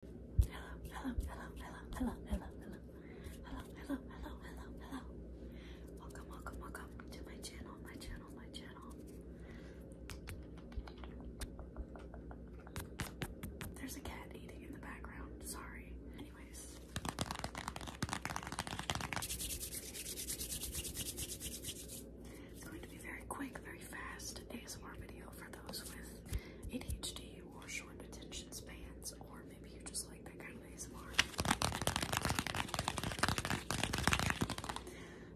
hello, hello, hello, hello, hello, hello, hello, hello, hello, hello. Welcome, welcome, welcome to my channel, my channel, my channel. There's a cat eating in the background. Sorry. Anyways. It's going to be very quick, very fast ASMR video for those with ADHD or short attention spans, or maybe you just like that kind of ASMR.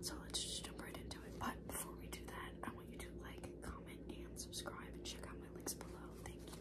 So let's just jump right into it. But before we do that, I want you to like, comment, and subscribe, and check out my links below. Thank you.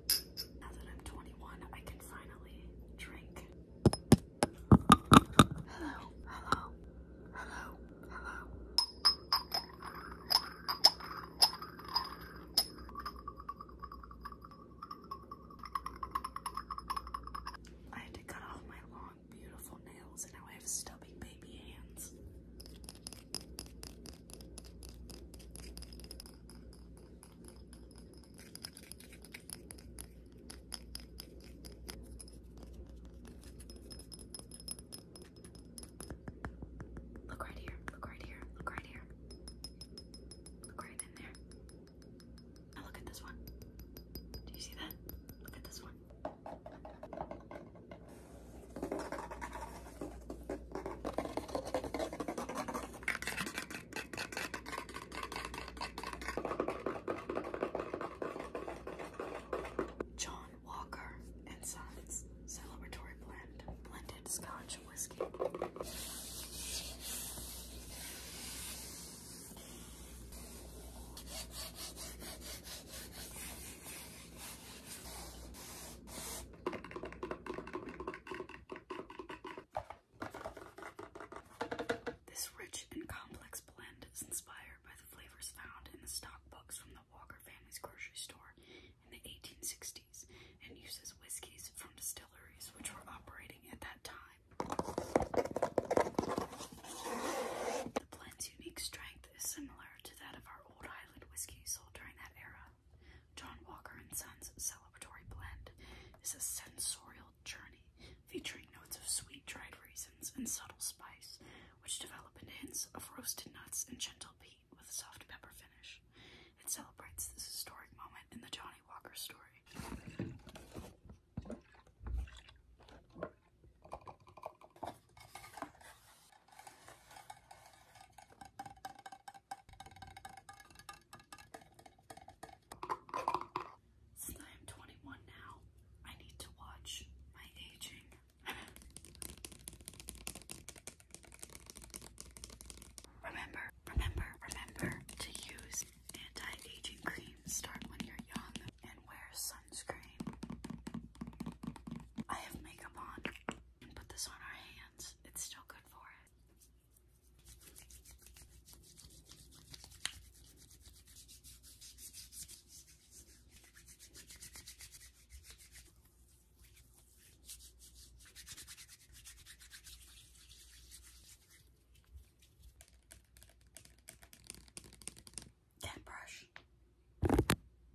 Now that I'm 21, I can finally drink. Hello, hello, hello, hello. I had to cut off my long, beautiful nails, and now I have stubby baby hands. Look right here, look right here, look right here. Look right in there. Now look at this one. Do you see that? Look at this one. John Walker and Sons Celebratory Blend Blended Scotch Whiskey. This rich and complex blend is inspired by the flavors found in the stock books from the Walker family's grocery store in the 1860s and uses whiskeys from distilleries which were operating at that time. The blend's unique strength is similar to that of our old island whiskey sold during that era, John Walker and Sons celebratory blend is a sensorial journey featuring notes of sweet dried raisins and subtle spice, which develop into hints of roasted nuts and gentle peat with a soft pepper finish. It celebrates this historic moment in the Johnny Walker story. Since I am 21 now, I need to watch my aging. remember, remember, remember to use anti-aging cream. Start when you're young and wear sunscreen. I have makeup on and put this on our hands. It's still good for it. That brush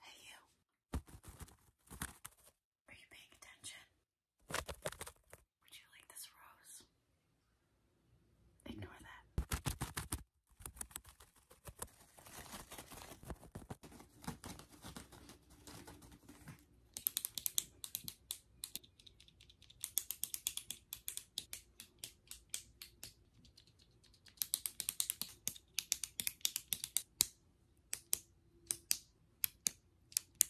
Hey, you. Are you paying attention? Would you like this rose? Ignore that.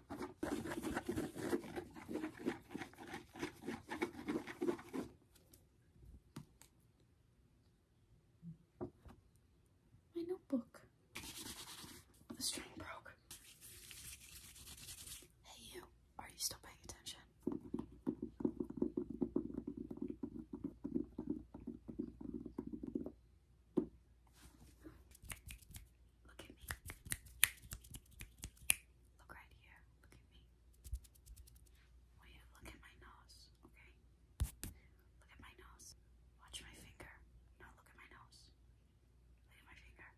My notebook. the string broke. Hey, you. Are you still paying attention? Look at me. Look right here. Look at me. Will oh, you look at my nose? Okay. Look at my nose. Watch my finger. Now look at my nose. Look at my finger.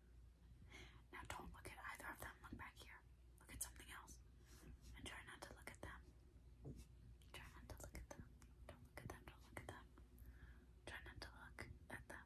Now don't look at either of them. Look back here. Look at something else. And try not to look at them. Try not to look at them. Don't look at them. Don't look at them. Try not to look at them.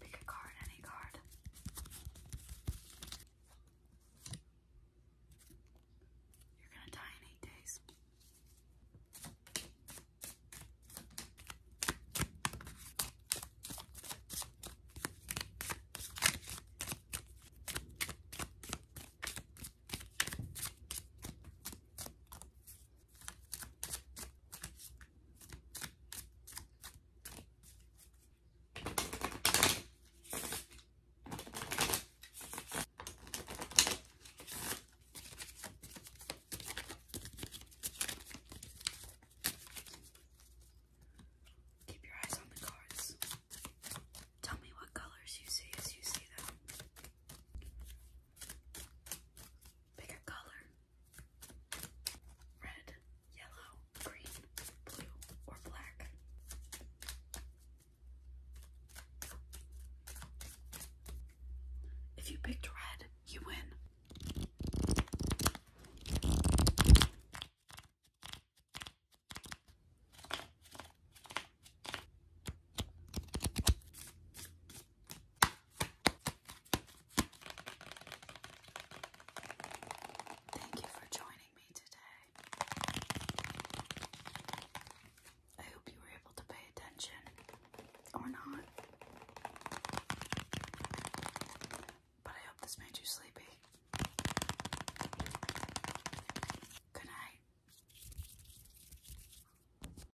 Pick a card, any card. You're gonna die in eight days. Keep your eyes on the cards. Tell me what colors you see as you see them. Pick color. Red, yellow, green, blue, or black. If you picked red, you win. Thank you for joining me today. I hope you were able to pay attention or not. But I hope this made you sleepy. Good night.